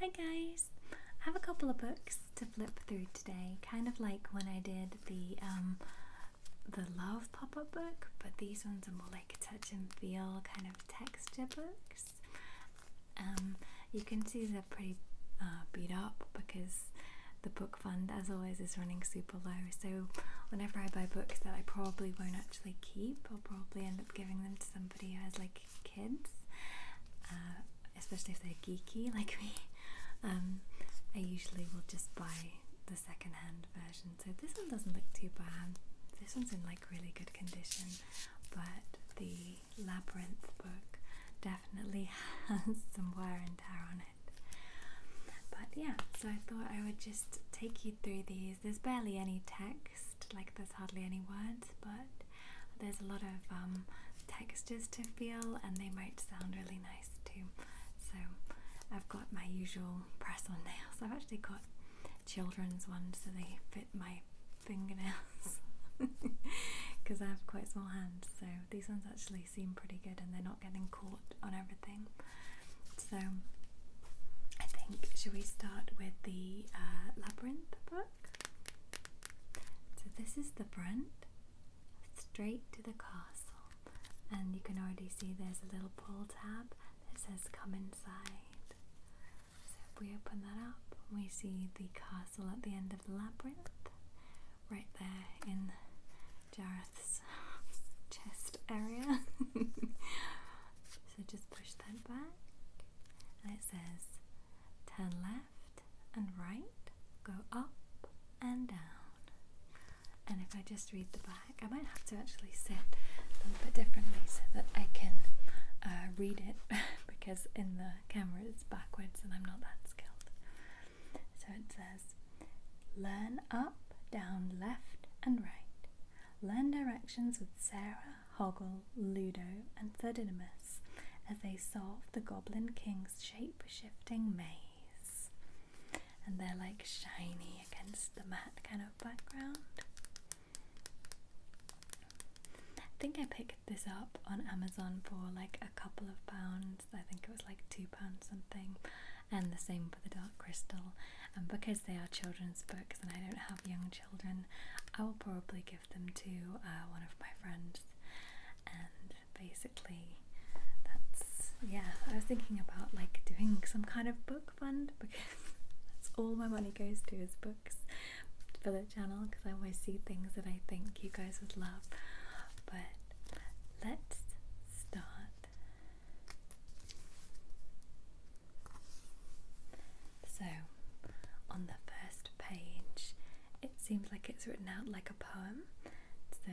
Hi guys! I have a couple of books to flip through today, kind of like when I did the um, the love pop-up book, but these ones are more like touch and feel kind of texture books. Um, you can see they're pretty uh, beat up because the book fund, as always, is running super low. So whenever I buy books that I probably won't actually keep, I'll probably end up giving them to somebody who has like kids, uh, especially if they're geeky like me. Um, I usually will just buy the second-hand version. So this one doesn't look too bad. This one's in like really good condition, but the labyrinth book definitely has some wear and tear on it. But yeah, so I thought I would just take you through these. There's barely any text like there's hardly any words, but there's a lot of um, textures to feel and they might sound really nice too. So I've got my usual press on nails. I've actually got children's ones so they fit my fingernails because I have quite small hands so these ones actually seem pretty good and they're not getting caught on everything so I think, should we start with the uh, Labyrinth book? So this is the front, straight to the castle. And you can already see there's a little pull tab that says come inside. So if we open that up, we see the castle at the end of the labyrinth, right there in Jareth's chest area. So just push that back, and it says turn left and right, go up and down. And if I just read the back, I might have to actually sit a little bit differently so that I can uh, read it because in the camera it's backwards and I'm not that skilled. So it says learn up, down, left, and right. Learn directions with Sarah, Hoggle, Ludo, and Thudinimus as they solve the Goblin King's shape shifting maze. And they're like shiny against the matte kind of background. I think I picked this up on Amazon for like a couple of pounds. I think it was like two pounds something and the same for The Dark Crystal. And because they are children's books and I don't have young children, I will probably give them to uh, one of my friends. And basically, that's yeah, I was thinking about like doing some kind of book fund because that's all my money goes to is books for the channel because I always see things that I think you guys would love. But let's start so, on the first page, it seems like it's written out like a poem. So,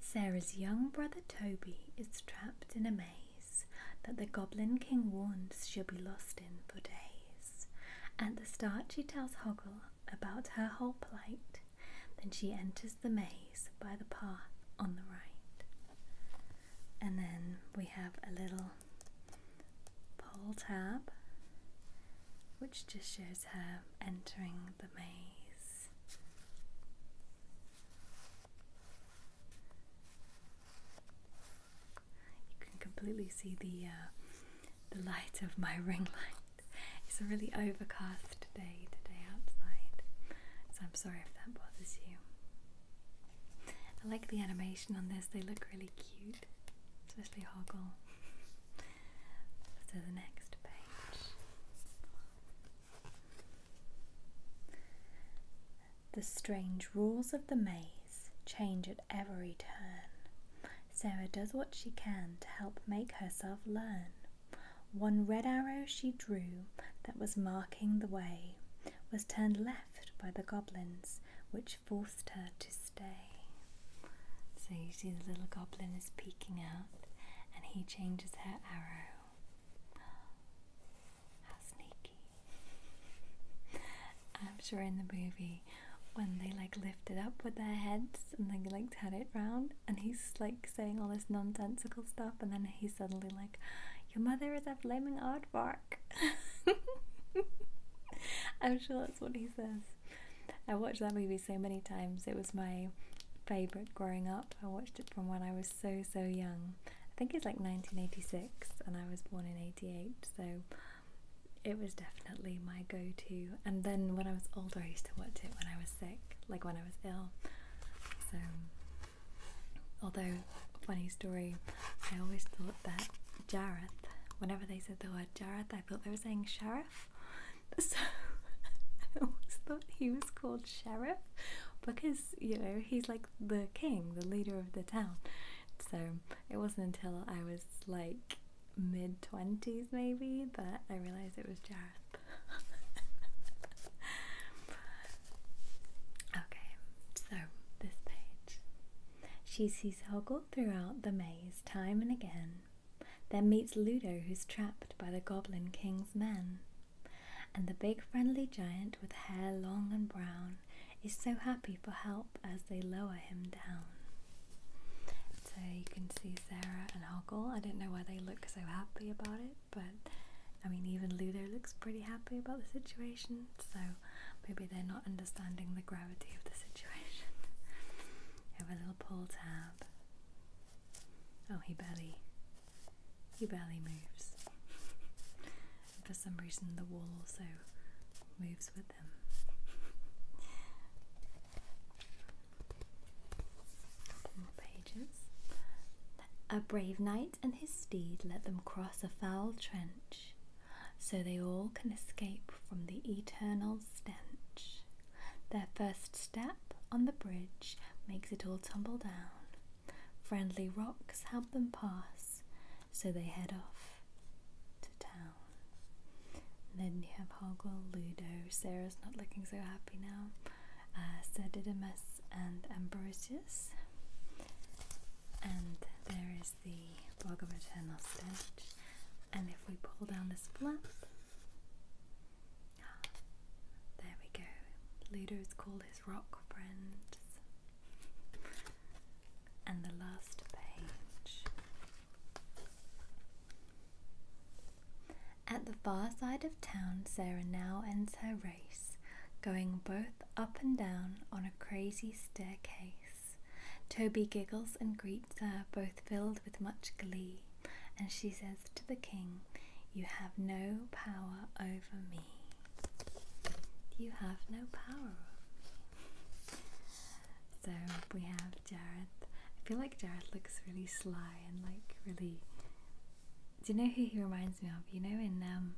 Sarah's young brother Toby is trapped in a maze that the Goblin King warns she'll be lost in for days. At the start, she tells Hoggle about her whole plight then she enters the maze by the path on the right. And then we have a little pull tab which just shows her entering the maze. You can completely see the uh, the light of my ring light. It's a really overcast day today outside, so I'm sorry if that bothers you. I like the animation on this, they look really cute, especially Hoggle. so, the next page. The strange rules of the maze change at every turn. Sarah does what she can to help make herself learn. One red arrow she drew that was marking the way was turned left by the goblins, which forced her to stay. So you see the little goblin is peeking out and he changes her arrow. How sneaky. I'm sure in the movie when they like lifted up with their heads and they like turn it round and he's like saying all this nonsensical stuff and then he's suddenly like your mother is a flaming aardvark i'm sure that's what he says i watched that movie so many times it was my favorite growing up i watched it from when i was so so young i think it's like 1986 and i was born in 88 so it was definitely my go-to and then when I was older I used to watch it when I was sick like when I was ill so although funny story I always thought that Jareth whenever they said the word Jareth I thought they were saying sheriff so I always thought he was called sheriff because you know he's like the king the leader of the town so it wasn't until I was like mid 20s maybe but I realised it was Jareth. okay, so this page. She sees Hoggle throughout the maze time and again, then meets Ludo who's trapped by the Goblin King's men. And the big friendly giant with hair long and brown is so happy for help as they lower him down. So you can see Sarah and Hoggle. I don't know why they look so happy about it, but I mean, even Luther looks pretty happy about the situation, so maybe they're not understanding the gravity of the situation. Have a little pull tab. Oh, he barely, he barely moves. for some reason, the wall also moves with a brave knight and his steed let them cross a foul trench, so they all can escape from the eternal stench. Their first step on the bridge makes it all tumble down. Friendly rocks help them pass, so they head off to town then you have Hoggle, Ludo, Sarah's not looking so happy now, uh, Sir Didymus and Ambrosius. And there is the Bhagavatar stitch. And if we pull down this flap, ah, there we go. Ludo's called his rock friends and the last page. At the far side of town, Sarah now ends her race, going both up and down on a crazy staircase. Toby giggles and greets her, both filled with much glee, and she says to the king, You have no power over me. You have no power over me. So we have Jared. I feel like Jared looks really sly and like really. Do you know who he reminds me of? You know, in um,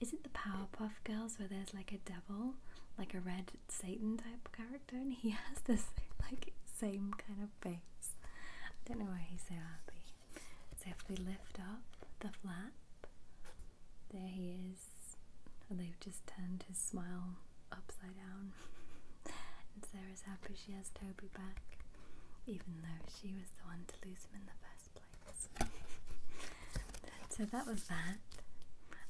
is it the Powerpuff Girls where there's like a devil, like a red Satan type character, and he has this like same kind of face. I don't know why he's so happy. So if we lift up the flap, there he is. And they've just turned his smile upside down. and Sarah's happy she has Toby back, even though she was the one to lose him in the first place. so that was that.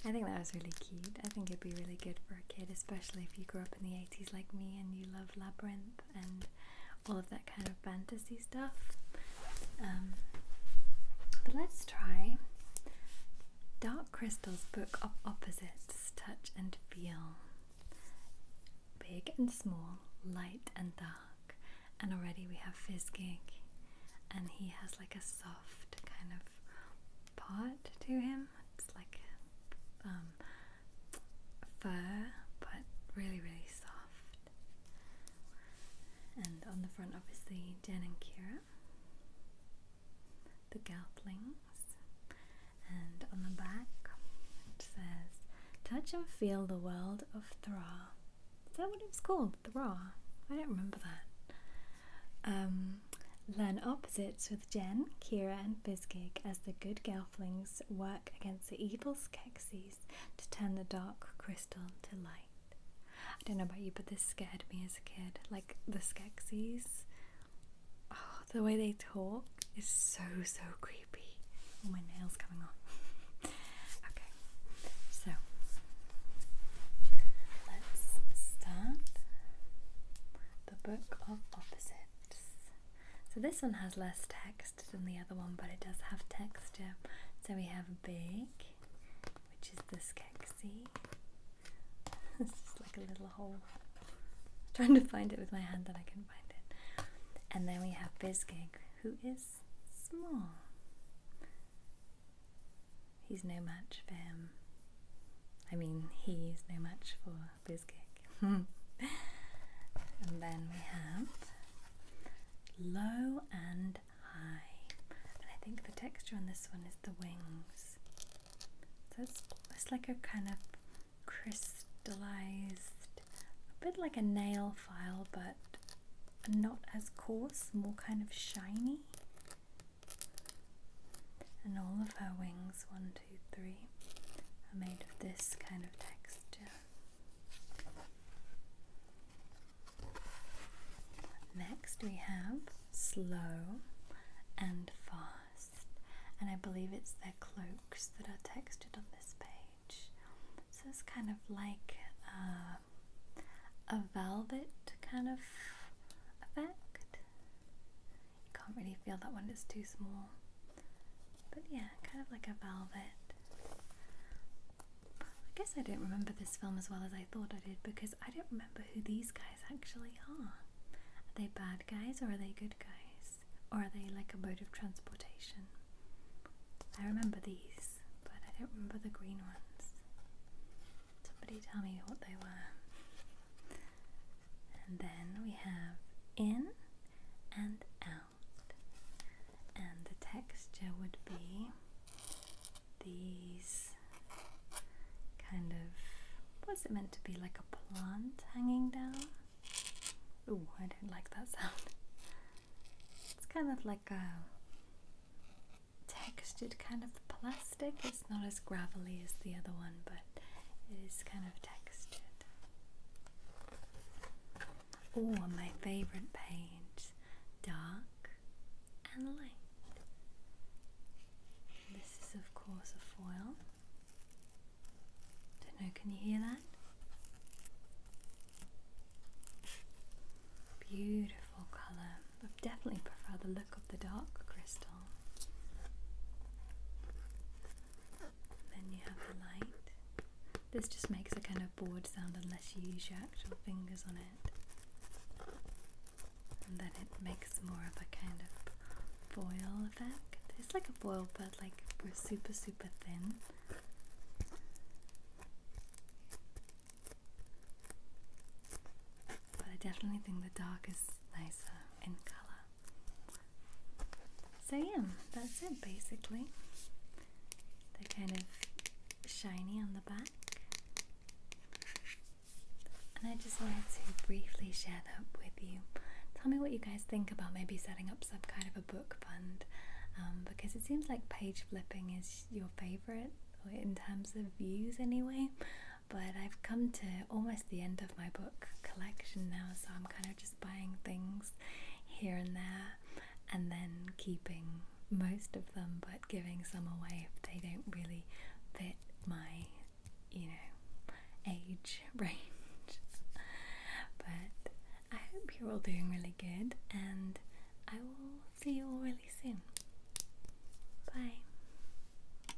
I think that was really cute. I think it'd be really good for a kid, especially if you grew up in the 80s like me and you love Labyrinth and all of that kind of fantasy stuff. Um, but let's try Dark Crystal's Book of Opposites Touch and Feel. Big and small, light and dark. And already we have Fizgig, and he has like a soft kind of part to him. It's like um, fur, but really, really soft. And on the front, obviously, Jen and Kira, the Gelflings. And on the back, it says, Touch and feel the world of Thra. Is that what it was called? Thra? I don't remember that. Um, learn opposites with Jen, Kira, and Fizgig as the good Gelflings work against the evil Skeksis to turn the dark crystal to light. I don't know about you, but this scared me as a kid. Like the Skeksis. Oh, the way they talk is so, so creepy. Oh, my nail's coming on. okay, so let's start the book of opposites. So this one has less text text than the other one, but it does have texture. So we have big, which is this Kexi. This is like a little hole. trying to find it with my hand that I can find it. And then we have Bizgig, who is small. He's no match for him. I mean, he's no match for Bizgig. and then we have low and high. And I think the texture on this one is the wings. So it's like a kind of crystallized, a bit like a nail file, but not as coarse, more kind of shiny. And all of her wings, one, two, three, are made of this kind of texture. Next, we have slow and fast, and I believe it's their cloaks that are textured on this page. So it's kind of like uh, a velvet kind of effect. You can't really feel that one; it's too small. But yeah, kind of like a velvet. I guess I don't remember this film as well as I thought I did because I don't remember who these guys actually are. Are they bad guys or are they good guys? Or are they like a mode of transportation? I remember these, but I don't remember the green ones. Somebody tell me what they were. And then we have in and out and the texture would be these kind of what's it meant to be like a plant hanging down? Oh, I don't like that sound. It's kind of like a textured kind of plastic. It's not as gravelly as the other one, but it is kind of textured. Or my favourite page, dark and light. This is, of course, a foil. Don't know, can you hear that? Beautiful colour. I definitely prefer the look of the dark crystal. Then you have the light. This just makes a kind of board sound unless you use your actual fingers on it. And then it makes more of a kind of boil effect. It's like a foil, but like super, super thin. But I definitely think the dark is nicer in colour. So yeah, that's it basically. They're kind of shiny on the back. And I just wanted to briefly share that with you. Tell me what you guys think about maybe setting up some kind of a book fund um, because it seems like page flipping is your favorite in terms of views anyway but I've come to almost the end of my book collection now, so I'm kind of just buying things here and there and then keeping most of them but giving some away if they don't really fit my, you know, age range. but I hope you're all doing really good and I will see you all really soon. Bye.